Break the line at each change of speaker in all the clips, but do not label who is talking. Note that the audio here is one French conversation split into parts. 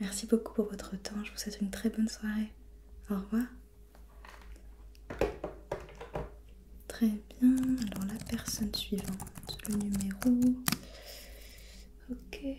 Merci beaucoup pour votre temps, je vous souhaite une très bonne soirée. Au revoir. Très bien, alors la personne suivante, le numéro. Ok.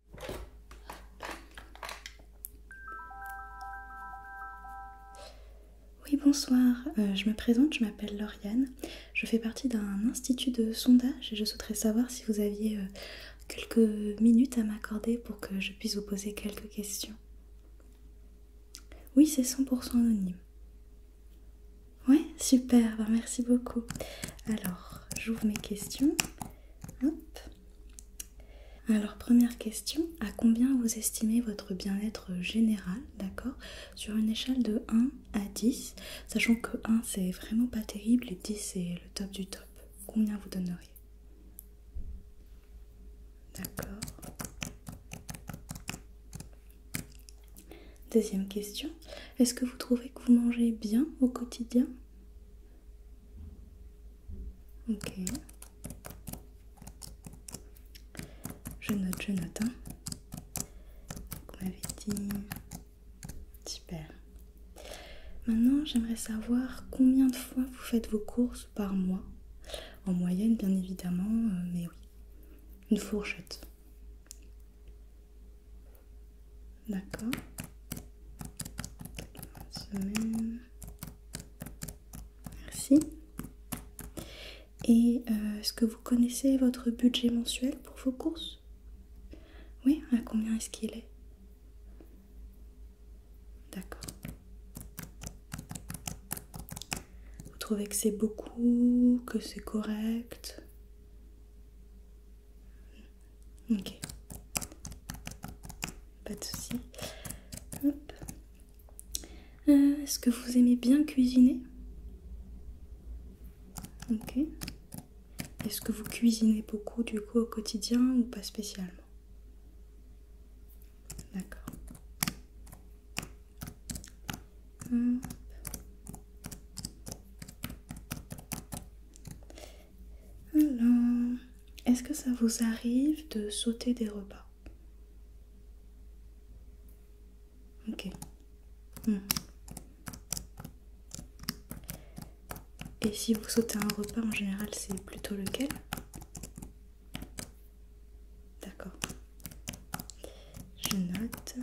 Oui, bonsoir, euh, je me présente, je m'appelle Lauriane, je fais partie d'un institut de sondage et je souhaiterais savoir si vous aviez euh, quelques minutes à m'accorder pour que je puisse vous poser quelques questions. Oui, c'est 100% anonyme. Ouais, super, ben, merci beaucoup. Alors, j'ouvre mes questions. Hop. Alors première question, à combien vous estimez votre bien-être général, d'accord Sur une échelle de 1 à 10, sachant que 1 c'est vraiment pas terrible et 10 c'est le top du top. Combien vous donneriez D'accord. Deuxième question, est-ce que vous trouvez que vous mangez bien au quotidien Ok. Je note, je note. Hein. Vous m'avez dit. Super. Maintenant, j'aimerais savoir combien de fois vous faites vos courses par mois. En moyenne, bien évidemment, euh, mais oui. Une fourchette. D'accord. Merci. Et euh, est-ce que vous connaissez votre budget mensuel pour vos courses Oui, à combien est-ce qu'il est D'accord. Vous trouvez que c'est beaucoup, que c'est correct Ok. Pas de soucis. Euh, est-ce que vous aimez bien cuisiner Ok. Est-ce que vous cuisinez beaucoup du coup au quotidien ou pas spécialement D'accord. Alors, est-ce que ça vous arrive de sauter des repas Ok. Hmm. Et si vous sautez un repas, en général, c'est plutôt lequel D'accord. Je note.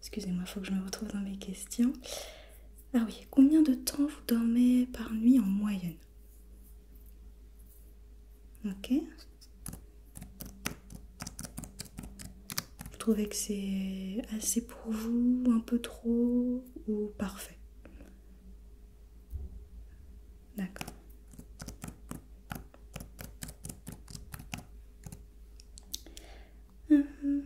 Excusez-moi, il faut que je me retrouve dans mes questions. Ah oui, combien de temps vous dormez par nuit en moyenne Ok. Vous trouvez que c'est assez pour vous, un peu trop ou parfait D'accord. Euh,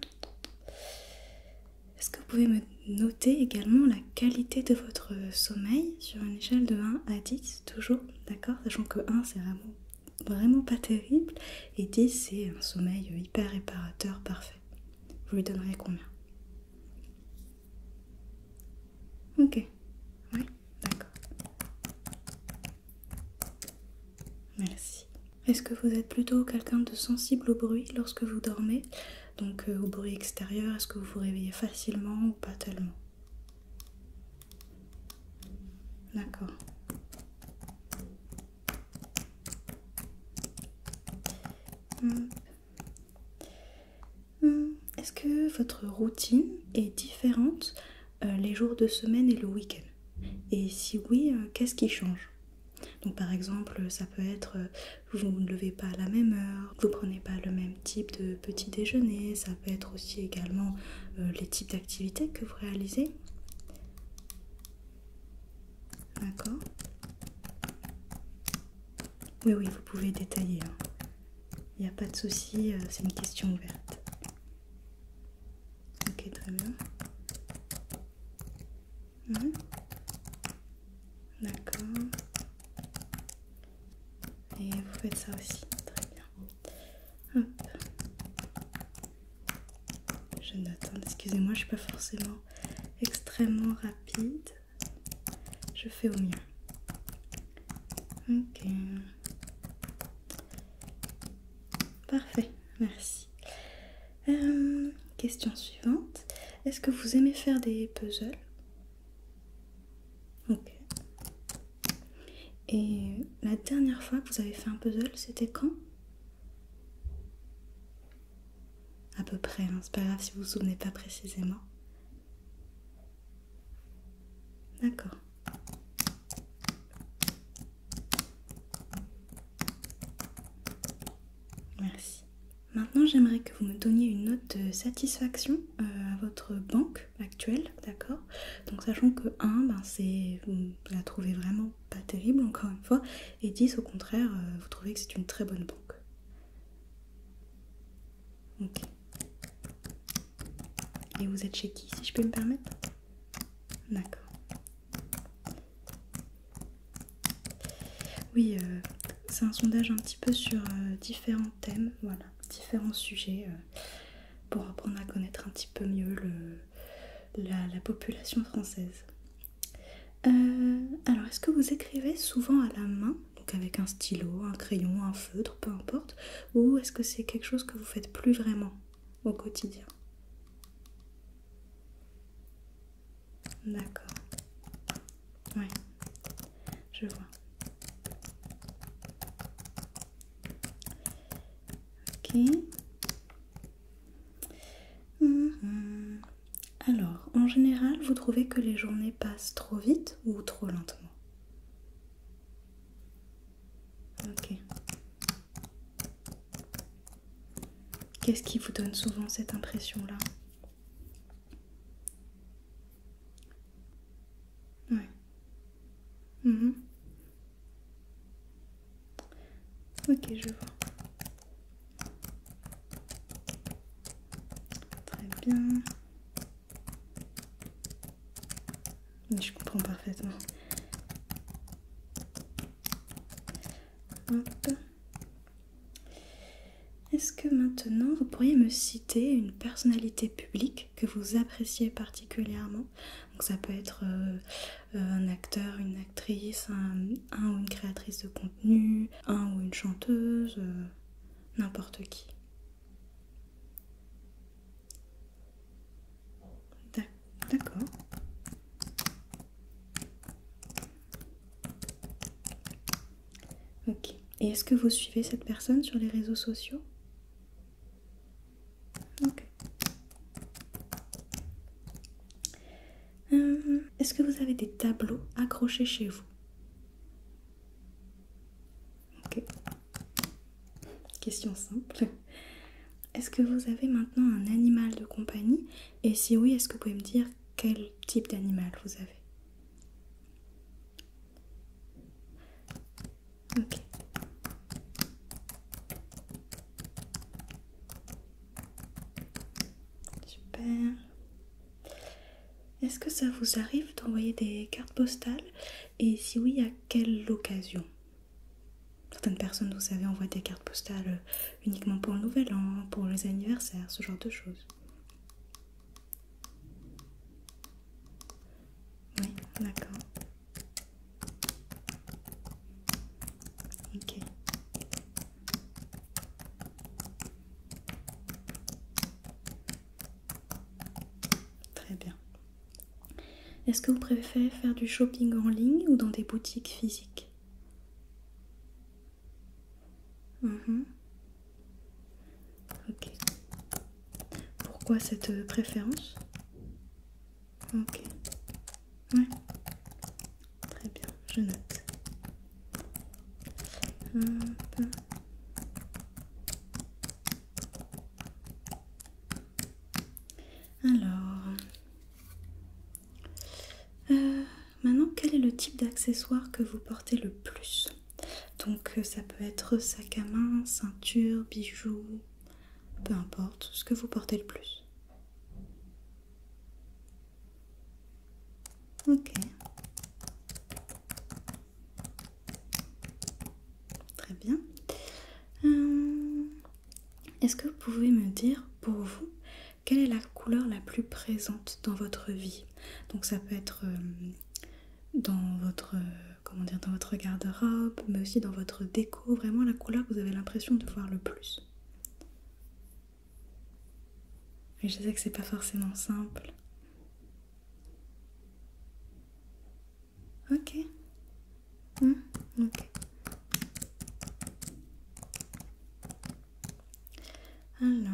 est-ce que vous pouvez me noter également la qualité de votre sommeil sur une échelle de 1 à 10 toujours, d'accord Sachant que 1 c'est vraiment, vraiment pas terrible et 10 c'est un sommeil hyper réparateur parfait. Vous lui donnerez combien Ok. Oui, d'accord. Merci. Est-ce que vous êtes plutôt quelqu'un de sensible au bruit lorsque vous dormez Donc euh, au bruit extérieur, est-ce que vous vous réveillez facilement ou pas tellement D'accord. Hmm. Hmm, est-ce que votre routine est différente euh, les jours de semaine et le week-end Et si oui, euh, qu'est-ce qui change donc par exemple, ça peut être euh, vous ne levez pas à la même heure, vous ne prenez pas le même type de petit déjeuner, ça peut être aussi également les types d'activités que vous réalisez. D'accord Oui, oui, vous pouvez détailler. Hein. Il n'y a pas de souci, euh, c'est une question ouverte. Ok, très bien. Mhm. D'accord. Et vous faites ça aussi. Très bien. Je note. Hein, excusez-moi, je ne suis pas forcément extrêmement rapide. Je fais au mieux. Ok. Parfait, merci. Euh, question suivante. Est-ce que vous aimez faire des puzzles Ok. Et la dernière fois que vous avez fait un puzzle, c'était quand À peu près, hein, c'est pas grave si vous vous souvenez pas précisément. D'accord. Merci. Maintenant, j'aimerais que vous me donniez une note de satisfaction euh, à votre banque actuelle, d'accord Donc, sachant que 1, ben, vous la trouvez vraiment pas terrible, encore une fois, et 10, au contraire, euh, vous trouvez que c'est une très bonne banque. Ok. Et vous êtes chez qui, si je peux me permettre D'accord. Oui, euh, c'est un sondage un petit peu sur euh, différents thèmes, voilà, différents sujets, euh, pour apprendre à connaître un petit peu mieux la, population française. alors, est-ce que vous écrivez souvent à la main donc avec un stylo, un crayon, un feutre, peu importe, ou est-ce que c'est quelque chose que vous faites plus vraiment au quotidien D'accord. Oui, je vois. Ok. Mhm. Alors, en général, vous trouvez que les journées passent trop vite ou trop lentement Ok. Qu'est-ce qui vous donne souvent cette impression-là Ouais. Mhm. Ok, je vois. Très bien. Je comprends parfaitement. Est-ce que maintenant vous pourriez me citer une personnalité publique que vous appréciez particulièrement Donc ça peut être euh, euh, un acteur, une actrice, un, ou une créatrice de contenu, un ou une chanteuse, euh, n'importe qui. D'accord. Ok. Et est-ce que vous suivez cette personne sur les réseaux sociaux Ok. Euh, est-ce que vous avez des tableaux accrochés chez vous Ok. Question simple. Est-ce que vous avez maintenant un animal de compagnie Et si oui, est-ce que vous pouvez me dire quel type d'animal vous avez Ok. Super. Est-ce que ça vous arrive d'envoyer des cartes postales et si oui, à quelle occasion Certaines personnes, vous savez, envoient des cartes postales euh, uniquement pour le nouvel an, pour les anniversaires, ce genre de choses. Oui, d'accord. Ok. Très bien. Est-ce que vous préférez faire du shopping en ligne ou dans des boutiques physiques mhm. Ok. Pourquoi cette préférence Ok. Ouais. Très bien, je note. Alors, euh, maintenant, quel est le type d'accessoire que vous portez le plus Donc, euh, ça peut être sac à main, ceinture, bijoux, peu importe ce que vous portez le plus. Ok. Très bien. Euh, est-ce que vous pouvez me dire pour vous quelle est la couleur la plus présente dans votre vie Donc ça peut être euh, dans votre comment dire dans votre garde-robe, mais aussi dans votre déco, vraiment la couleur que vous avez l'impression de voir le plus. je sais que c'est pas forcément simple. Ok. Hmm, ok. Alors,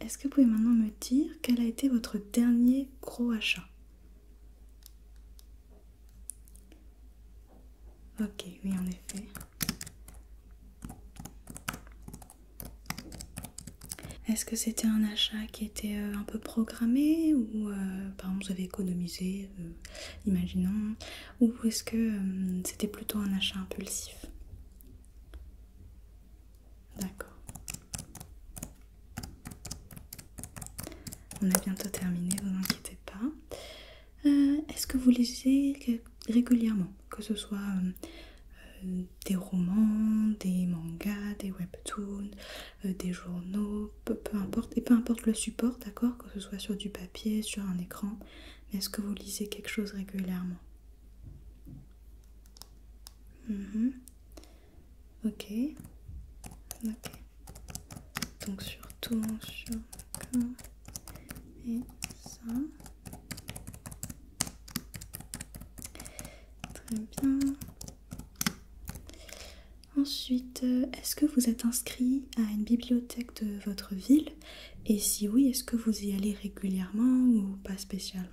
est-ce que vous pouvez maintenant me dire quel a été votre dernier gros achat Ok, oui, en effet. Est-ce que c'était un achat qui était euh, un peu programmé ou euh, par exemple vous avez économisé, euh, imaginons, ou est-ce que c'était plutôt un achat impulsif D'accord. On a bientôt terminé, vous inquiétez pas. Est-ce que vous lisez régulièrement, que ce soit des romans, des mangas, des webtoons euh, des journaux, peu, importe, et peu importe le support, d'accord Que ce soit sur du papier, sur un écran, mais est-ce que vous lisez quelque chose régulièrement mhm. Ok, Donc surtout sur et ça. Très bien. Ensuite, euh, est-ce que vous êtes inscrit à une bibliothèque de votre ville Et si oui, est-ce que vous y allez régulièrement ou pas spécialement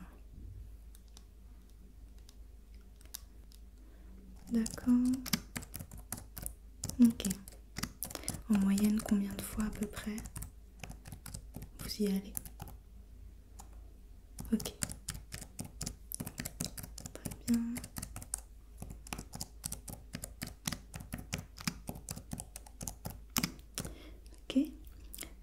D'accord. Ok. En moyenne, combien de fois à peu près vous y allez Ok. Très bien. Ok.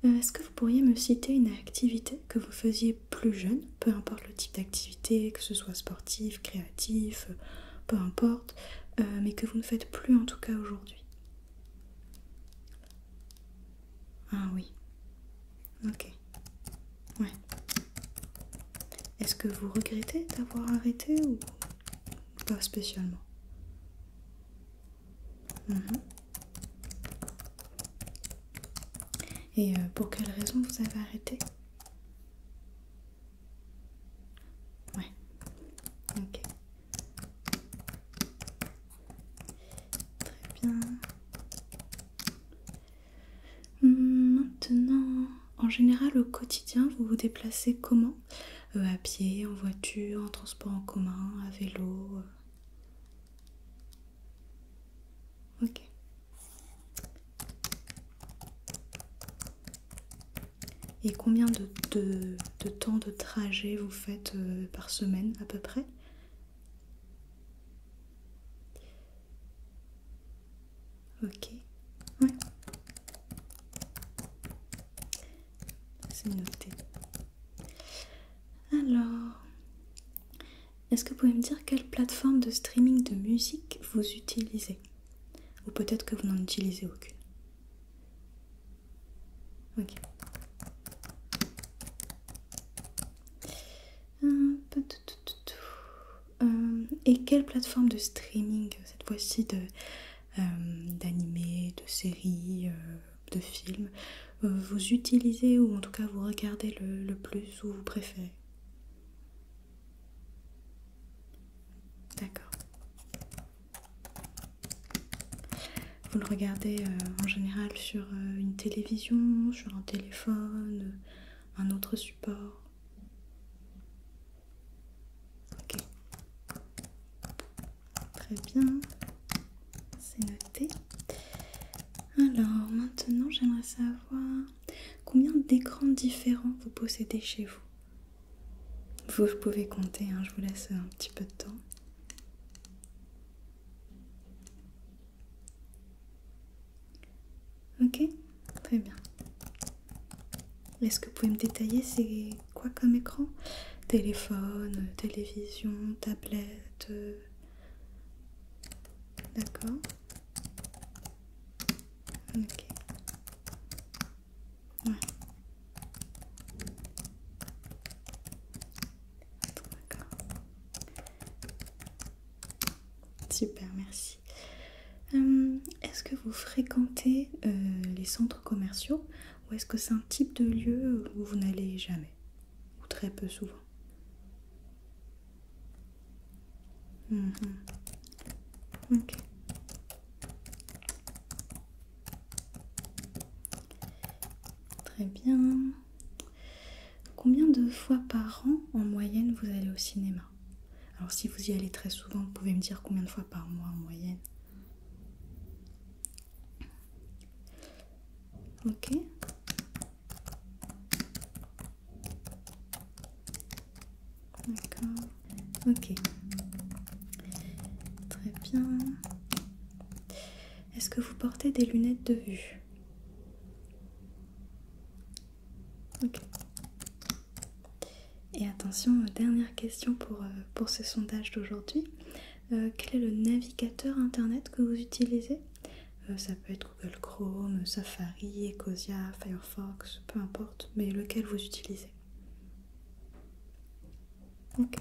Euh, est-ce que vous pourriez me citer une activité que vous faisiez plus jeune, peu importe le type d'activité, que ce soit sportif, créatif, euh, peu importe, euh, mais que vous ne faites plus en tout cas aujourd'hui Ah oui. Ok. Ouais. Est-ce que vous regrettez d'avoir arrêté ou pas spécialement mm-hmm. Et euh, pour quelle raison vous avez arrêté Ouais. Ok. Très bien. Maintenant, en général au quotidien, vous vous déplacez comment euh, À pied, en voiture, en transport en commun, à vélo euh. Ok. Et combien de, temps de trajet vous faites euh, par semaine à peu près Ok, ouais. C'est noté. Alors, est-ce que vous pouvez me dire quelle plateforme de streaming de musique vous utilisez Ou peut-être que vous n'en utilisez aucune. Ok. Euh, et quelle plateforme de streaming cette fois-ci de euh, de séries, euh, de films vous utilisez ou en tout cas vous regardez le, plus ou vous préférez D'accord. Vous le regardez en général sur une télévision, sur un téléphone, un autre support. Ok. Très bien. C'est noté. Alors maintenant j'aimerais savoir combien d'écrans différents vous possédez chez vous. Vous pouvez compter, hein, je vous laisse un petit peu de temps. Ok, très bien. Est-ce que vous pouvez me détailler c'est quoi comme écran Téléphone, télévision, tablette. Euh, d'accord. Ok. Ouais. D'accord. Super, merci. Euh, est-ce que vous fréquentez euh, les centres commerciaux ou est-ce que c'est un type de lieu où vous n'allez jamais ou très peu souvent mhm. Très bien. Combien de fois par an en moyenne vous allez au cinéma Alors si vous y allez très souvent, vous pouvez me dire combien de fois par mois en moyenne Ok D'accord. Ok. Très bien. Est-ce que vous portez des lunettes de vue Ok. Et attention, euh, dernière question pour, euh, pour ce sondage d'aujourd'hui. Euh, quel est le navigateur internet que vous utilisez Ça peut être Google Chrome, Safari, Ecosia, Firefox, peu importe, mais lequel vous utilisez. Ok.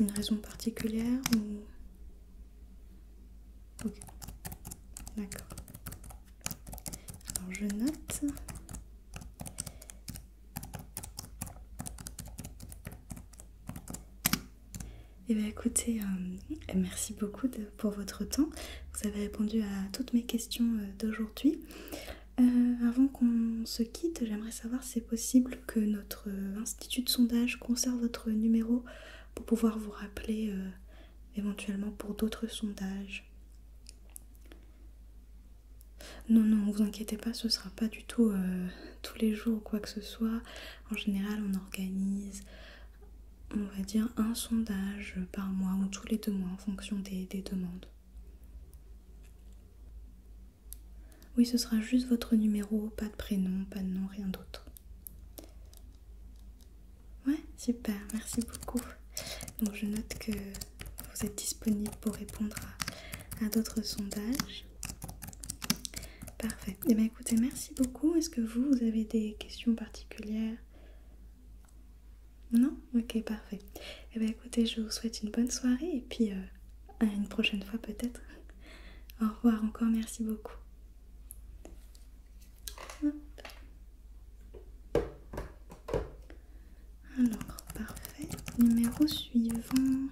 Une raison particulière ou Ok, d'accord. Alors je note. Eh bien écoutez, euh, merci beaucoup pour votre temps. Vous avez répondu à toutes mes questions euh, d'aujourd'hui. Euh, avant qu'on se quitte, j'aimerais savoir si c'est possible que notre institut de sondage conserve votre numéro pour pouvoir vous rappeler euh, éventuellement pour d'autres sondages. Non, non, vous inquiétez pas, ce ne sera pas du tout euh, tous les jours ou quoi que ce soit. En général, on organise, on va dire, un sondage par mois ou tous les deux mois en fonction des, des demandes. Oui, ce sera juste votre numéro, pas de prénom, pas de nom, rien d'autre. Ouais, super, merci beaucoup. Donc je note que vous êtes disponible pour répondre à, d'autres sondages. Parfait. Eh bien écoutez, merci beaucoup. Est-ce que vous, vous avez des questions particulières Non Ok, parfait. Eh bien écoutez, je vous souhaite une bonne soirée et puis euh, à une prochaine fois peut-être. Au revoir encore, merci beaucoup. Alors, parfait. Numéro suivant.